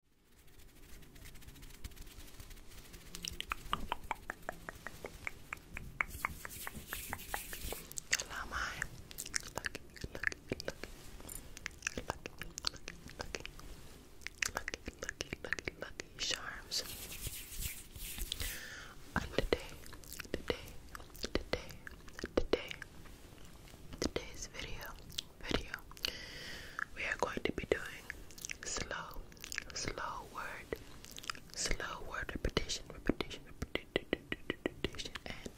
Hello, my lucky, lucky, lucky, lucky, lucky, lucky, lucky, lucky, lucky, charms. And today, today, today, today, today's video video, we are going to be doing slow, slow word, slow word repetition, repetition, repetition, and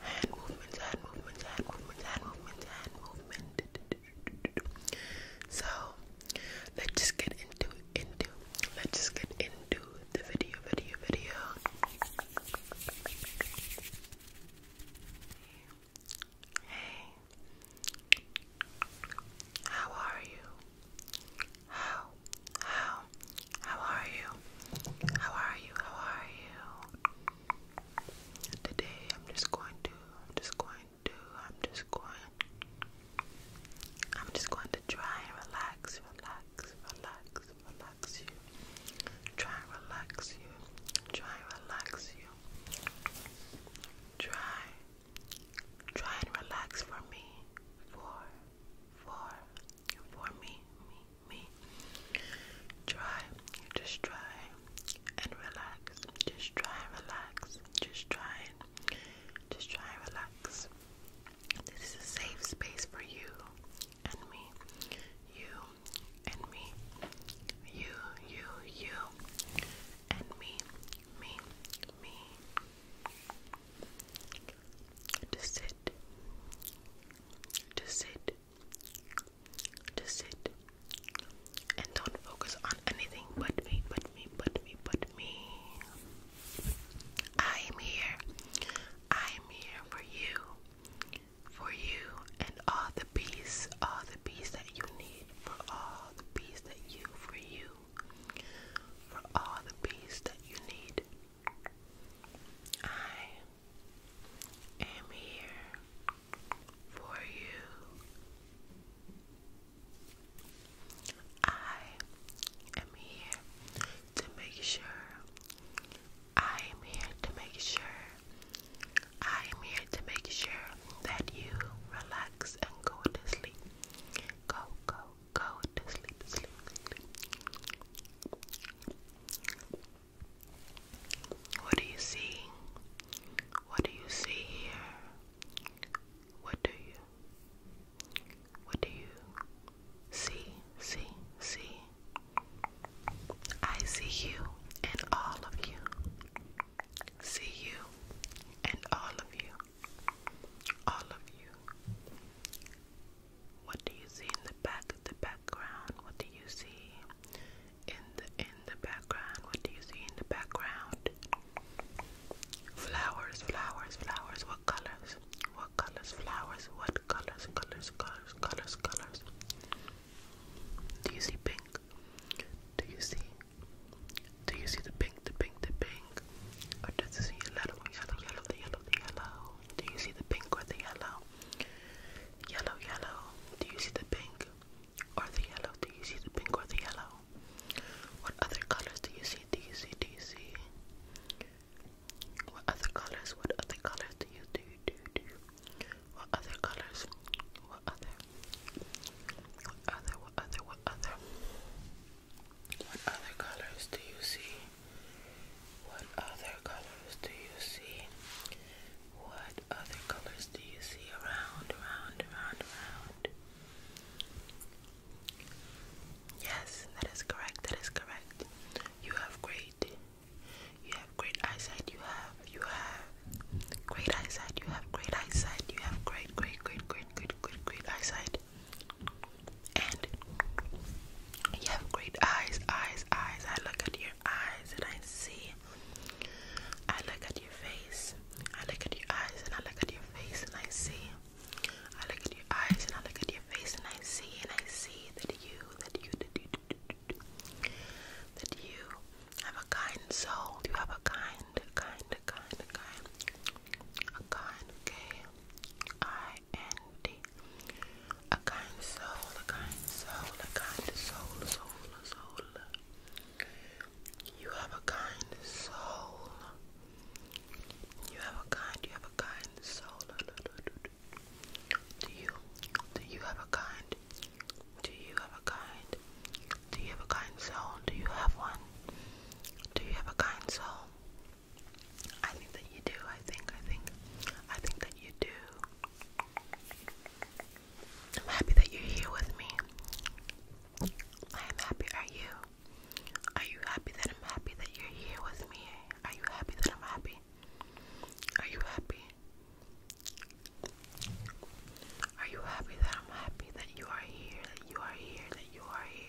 hand movements, hand movements, hand movements, hand movements, hand movement. So let's just get into into let's just get into the video, video, video. Hey, how are you? How, how, how are you? How are you? How are you? Today I'm just going to, I'm just going to, I'm just going, I'm just going to try and relax, relax, relax, relax you. Try relax you. Try relax you. Try. Try and relax for me. For for for me. Me. Me. Try. Just try and relax. Just try and relax. Just try just try and relax. This is a safe space for you and me. You and me. You, you, you, and me, me, me. To sit, to sit, to sit, and don't focus on anything but me, but me, but me, but me. I am here. I am here for you for you and all the peace, all the peace that you need, for all the peace that you, for you, for all the peace that you need. I am here for you. I am here to make sure I am here to make sure, I am here to make sure that you relax and go to sleep. Go, go, go to sleep, sleep, sleep. What do you see? What do you see here? What do you? What do you see? See, see. I see you and all of you. See you and all of you. All of you. What do you see in the back of the background? What do you see in the in the background? What do you see in the background? Flowers, flowers, flowers. What colors? What colors? Flowers. What colors? Colors. Colors colors, colors, colors. Do you see pink? Do you see? Do you see the pink, the pink, the pink? Or does it see yellow, yellow, yellow, the yellow, the yellow? Do you see the pink or the yellow? Yellow, yellow. Do you see the pink or the yellow? Do you see the pink or the yellow? What other colors do you see? Do you see? Do you see? What other colors? What other colors do you do? do, do? What other colors? What other? What other? What other? What other? What other colors do you see? What other colors do you see? What other colors do you see around, around, around, around? Yes, that is correct. That is correct. You have great you have great eyesight. You have, you have great eyesight. You have great eyesight. You have great, great, great, great, great, great, eyesight. And you have great eyes, eyes, eyes. I look at your eyes and I see. I look at your face. I look at your eyes and I look at your face and I see. I look at your eyes and I look at your face and I see and I see that you that you that you have a kind soul. You have a kind, kind, kind, kind, a kind, K I N D, a kind soul, a kind soul, a kind soul, soul, soul. You have a kind soul. You have a kind, you have a kind soul. Do you do you have a kind? Do you have a kind? Do you have a kind soul? Do you have one? Do you have a kind soul? I think that you do. I think I think I think that you do. I'm happy that you're here with me. I am happy. Are you? Are you happy that I'm happy that you're here with me? Are you happy that I'm happy? Are you happy? Are you happy that I'm happy that you are here, that you are here, that you are here?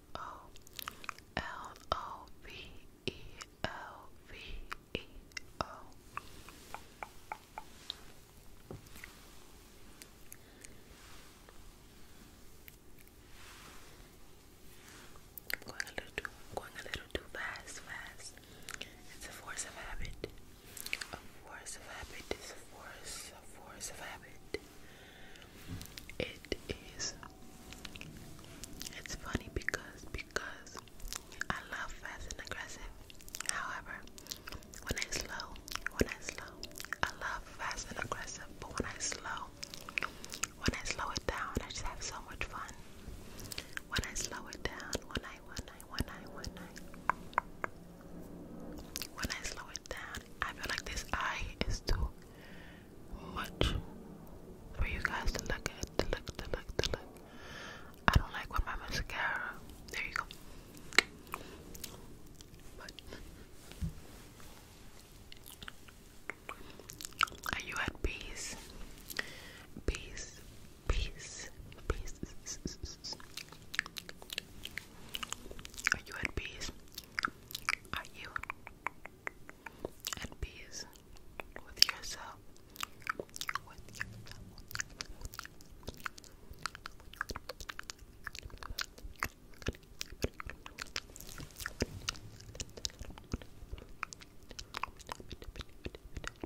O L O V E going a little too, going a little too fast, fast. It's a force of habit. A force of habit is a force, a force of habit. It is it's funny because because I love fast and aggressive. However, when I slow, when I slow, I love fast and aggressive, but when I slow, when I slow it down, I just have so much fun. When I slow it down, when I when I when I when I when I slow it down, I feel like this eye is too much for you guys to look at, to look, to look, to look. I don't like when my mascara. There you go. are you at peace? Peace, peace, peace. Are you at peace? Are you and peace with yourself. With yourself.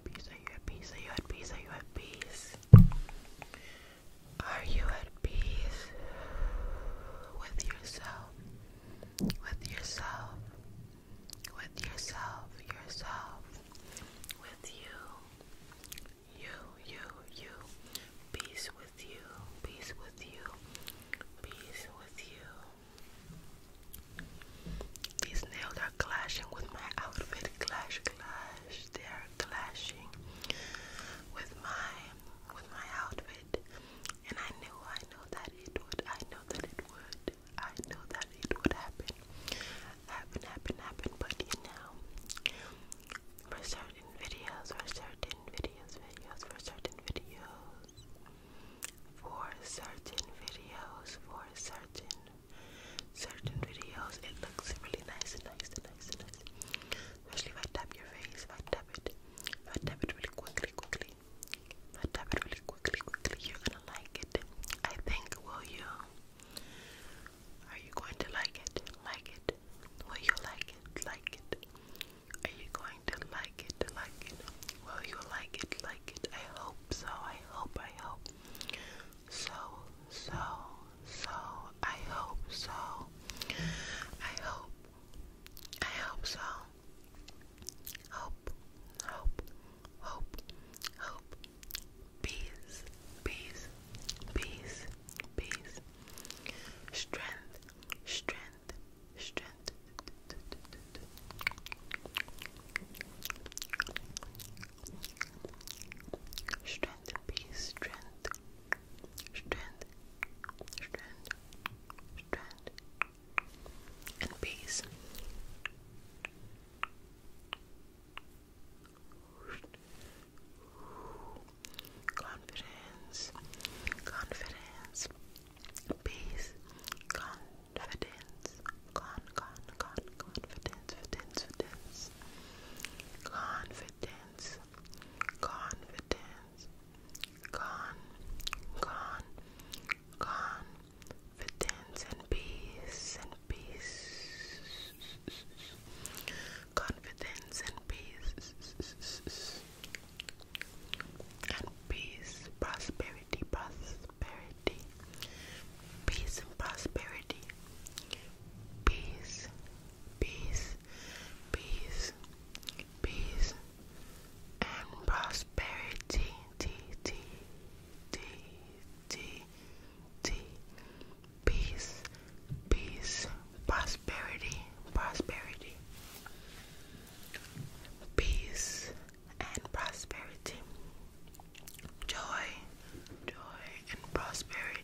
Peace, are you at peace? Are you at peace? you at peace? Are you at peace with yourself? With yourself? With yourself, yourself, with you, you, you, you, peace with you, peace with you, peace with you. These nails are clashing with my outfit, clash, clash, they are clashing with my, with my outfit would. And I knew, I know that it would. I know that it would. I know that it would happen. Happen, happen, happen. But you know, for certain videos, for certain videos, videos, for certain videos, for certain videos, for certain, certain videos, it looks really nice and nice and nice and nice. Especially if I tap your face, if I tap it, if I tap it really quickly, quickly, if I tap it really quickly, quickly, you're gonna like it. I think, will you? Are you going to like it? Like it? Will you like it? Like it? Are you going to like it? Like it? Will you like it? Like it? I hope so. I hope. I hope. So, so, so. I hope so. I hope. I hope so. Hope, hope, hope, hope. Peace, peace, peace, peace. Strength, strength, strength. Strength, strength, peace, strength, strength, strength, strength, and peace. Confidence, confidence, peace, confidence, con, con, con, confidence, confidence, confidence, confidence, confidence, con, con, confidence and peace and peace, confidence and peace and peace, prosperity, prosperity, peace and prosperity, peace peace, peace, peace, and prosperity. T, T, T, T, T, peace, peace, prosperity, prosperity, peace, and prosperity, joy, joy, and prosperity.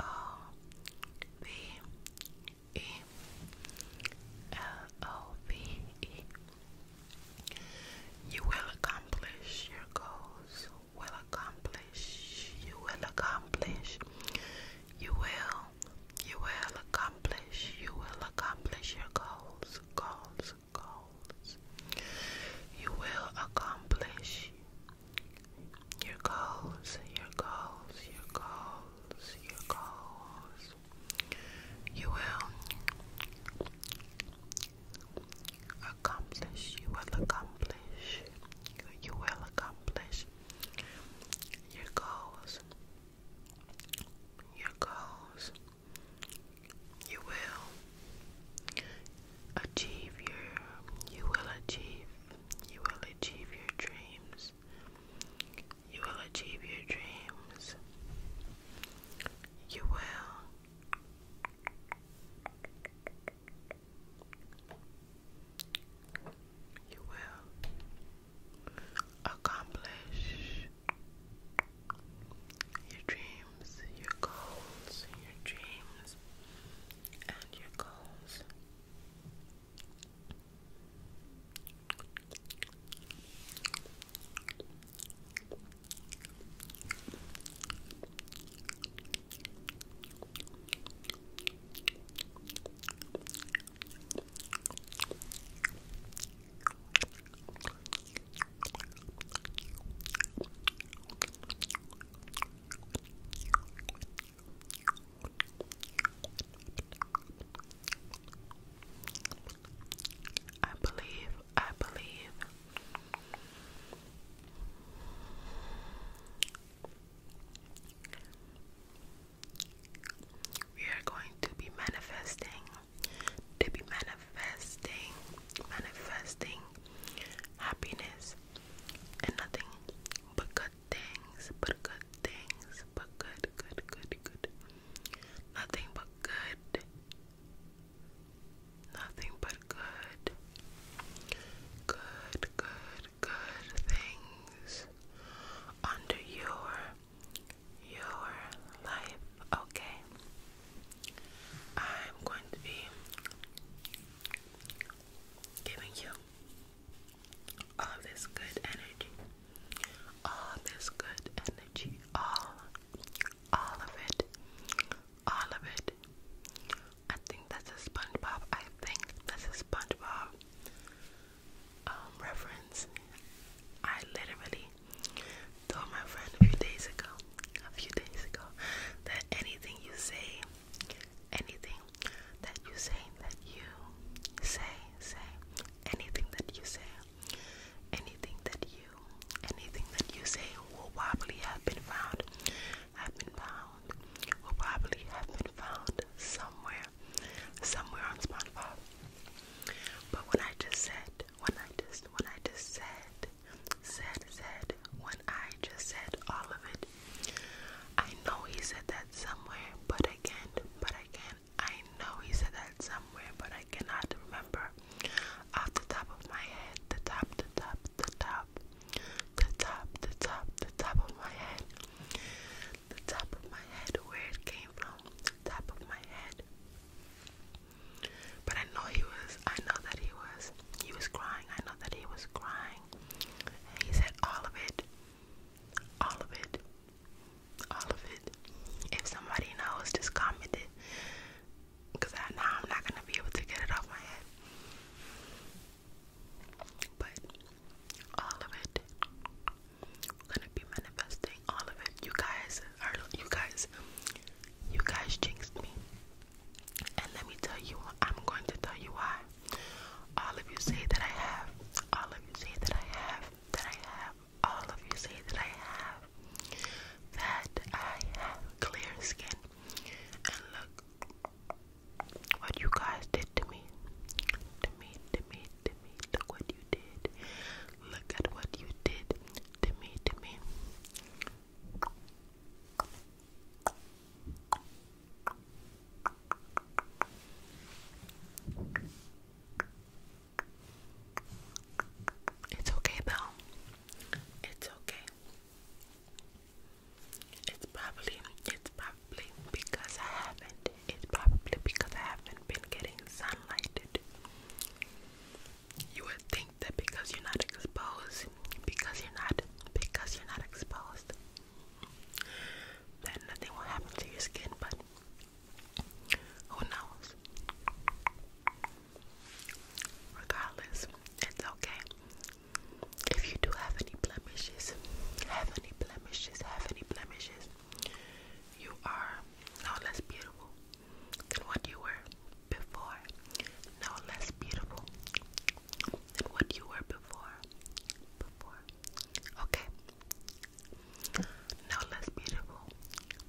O V E L O V E. You will accomplish your goals. Will accomplish. You will accomplish. You will. You will accomplish. You will accomplish your goals. Goals. Goals. You will accomplish your goals, your goals, your goals, your goals. You will accomplish, you will accomplish, you will accomplish your goals, your goals. You will achieve your, you will achieve you will achieve your dreams. You will achieve your dreams. You will. You will accomplish your dreams, your goals, your dreams and your goals. I believe, I believe. We are going to be manifesting, to be manifesting, manifesting happiness, and nothing but good things, but good things, but good, good, good, good. Nothing but good. Nothing but good. Good, good, good things under your your life. Okay. I'm going to be giving you all this good energy, all this good energy, all, all of it, all of it. I think that's a SpongeBob. I think that's a SpongeBob um, reference. I literally told my friend a few days ago a few days ago that anything you say, anything that you say, that you say, say, anything that you say, anything that you, anything that you say will probably have been found, have been found, will probably have been found somewhere, somewhere on SpongeBob. But when I just said, when I just, when I just said, said said when I just said all of it. I know he said that somewhere, but I can't, but I I know he said that somewhere, but I cannot remember off the top of my head, the top, the top, the top, the top, the top, the top of my head, the top of my head, where it came from, the top of my head. But I know he was, I know that he was, he was crying. I know that he was crying. And he said, all of it, all of it, all of it. If somebody knows, just comment it. Because I, now I'm not going to be able to get it off my head. But all of it, gonna be manifesting all of it. You guys are, you guys, you guys jinxed me. And let me tell you, I'm going to tell you why. All of you say that I have. All of you say that I have. That I have. All of you say that I have. That I have clear skin. And look what you guys did to me. To me, to me, to me. Look what you did. Look at what you did to me, to me. It's okay, Belle. It's okay. It's probably it's probably because I haven't. It's probably because I haven't been getting sunlighted you would think that because you're not exposed, because you're not, because you're not exposed, that nothing will happen to your skin, but who knows? Regardless, it's okay. If you do have any blemishes, have any blemishes, have any blemishes, you are no less beautiful than what you were before no less beautiful than what you were before. Before. Okay. No less beautiful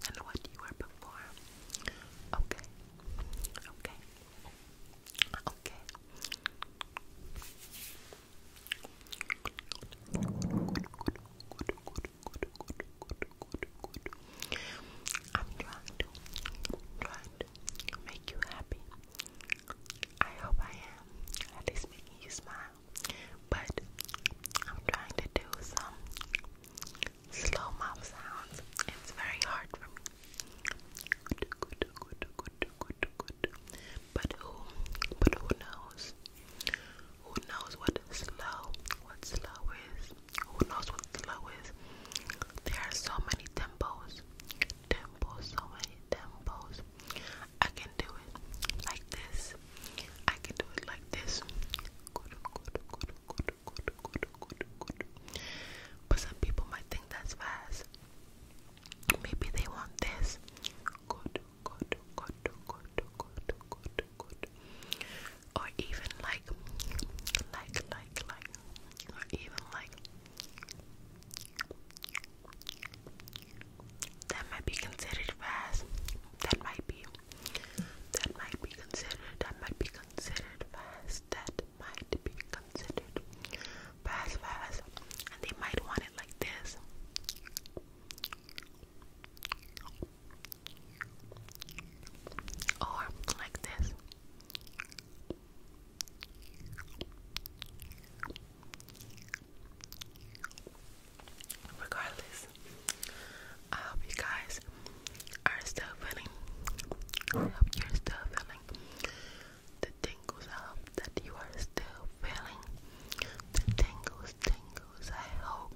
than what you were before. Okay. Okay. Okay. I'm trying to, make you happy. I hope I am at least making you smile. But I'm trying to do some slow mouth sounds. It's very hard for me. But who, but who knows? Who knows what slow, what slow is? Who knows what slow is? There are so many tempos, tempos, so many tempos. I can do it like this. I can do it like this. But some people might think that's fast. Maybe they want this or even like, like, like, like, or even like. That might be considered fast. That might be. That might be considered. That might be considered fast. That might be considered fast, fast. And they might want it like this or like this. Regardless, I hope you guys are still feeling. I hope you're still feeling the tingles. I hope that you are still feeling the tingles, tingles. I hope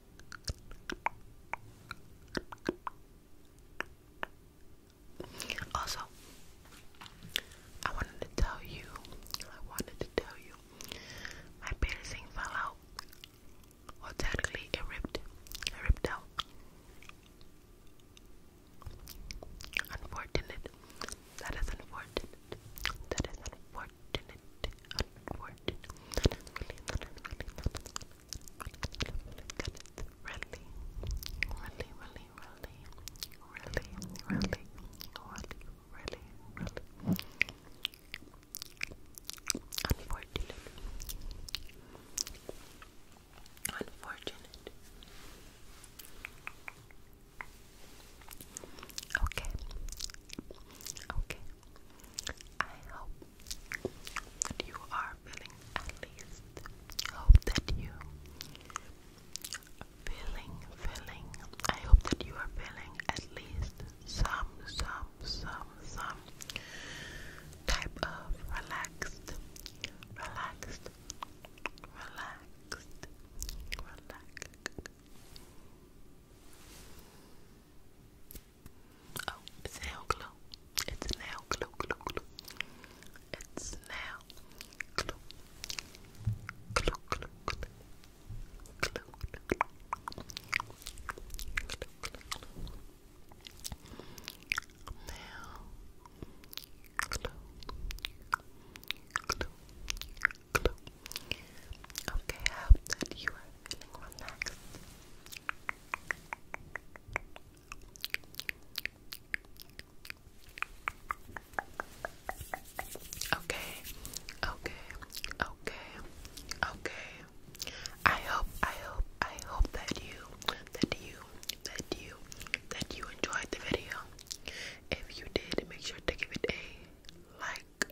Also, I wanted to tell you, I wanted to tell you, my piercing fell out. Well, technically, it ripped, it ripped out. Unfortunate. That is unfortunate. That is unfortunate. Unfortunate really, really, really, really, really, really, really, really unfortunate. Unfortunate. Okay. Okay. I hope that you are feeling at least. Hope that you feeling, feeling. I hope that you are feeling at least some, some, some, some type of relaxed, relaxed, relaxed, relaxed. Oh, it's nail glue. It's nail glue, glue, glue. It's nail glue. Glue, glue, glue. Glue, glue, glue. Glue, glue, glue. glue. Glue, glue, Okay, I hope that you are feeling relaxed. Okay, okay, okay, okay. I hope, I hope, I hope that you, that you, that you, that you enjoyed the video. If you did, make sure to give it a like,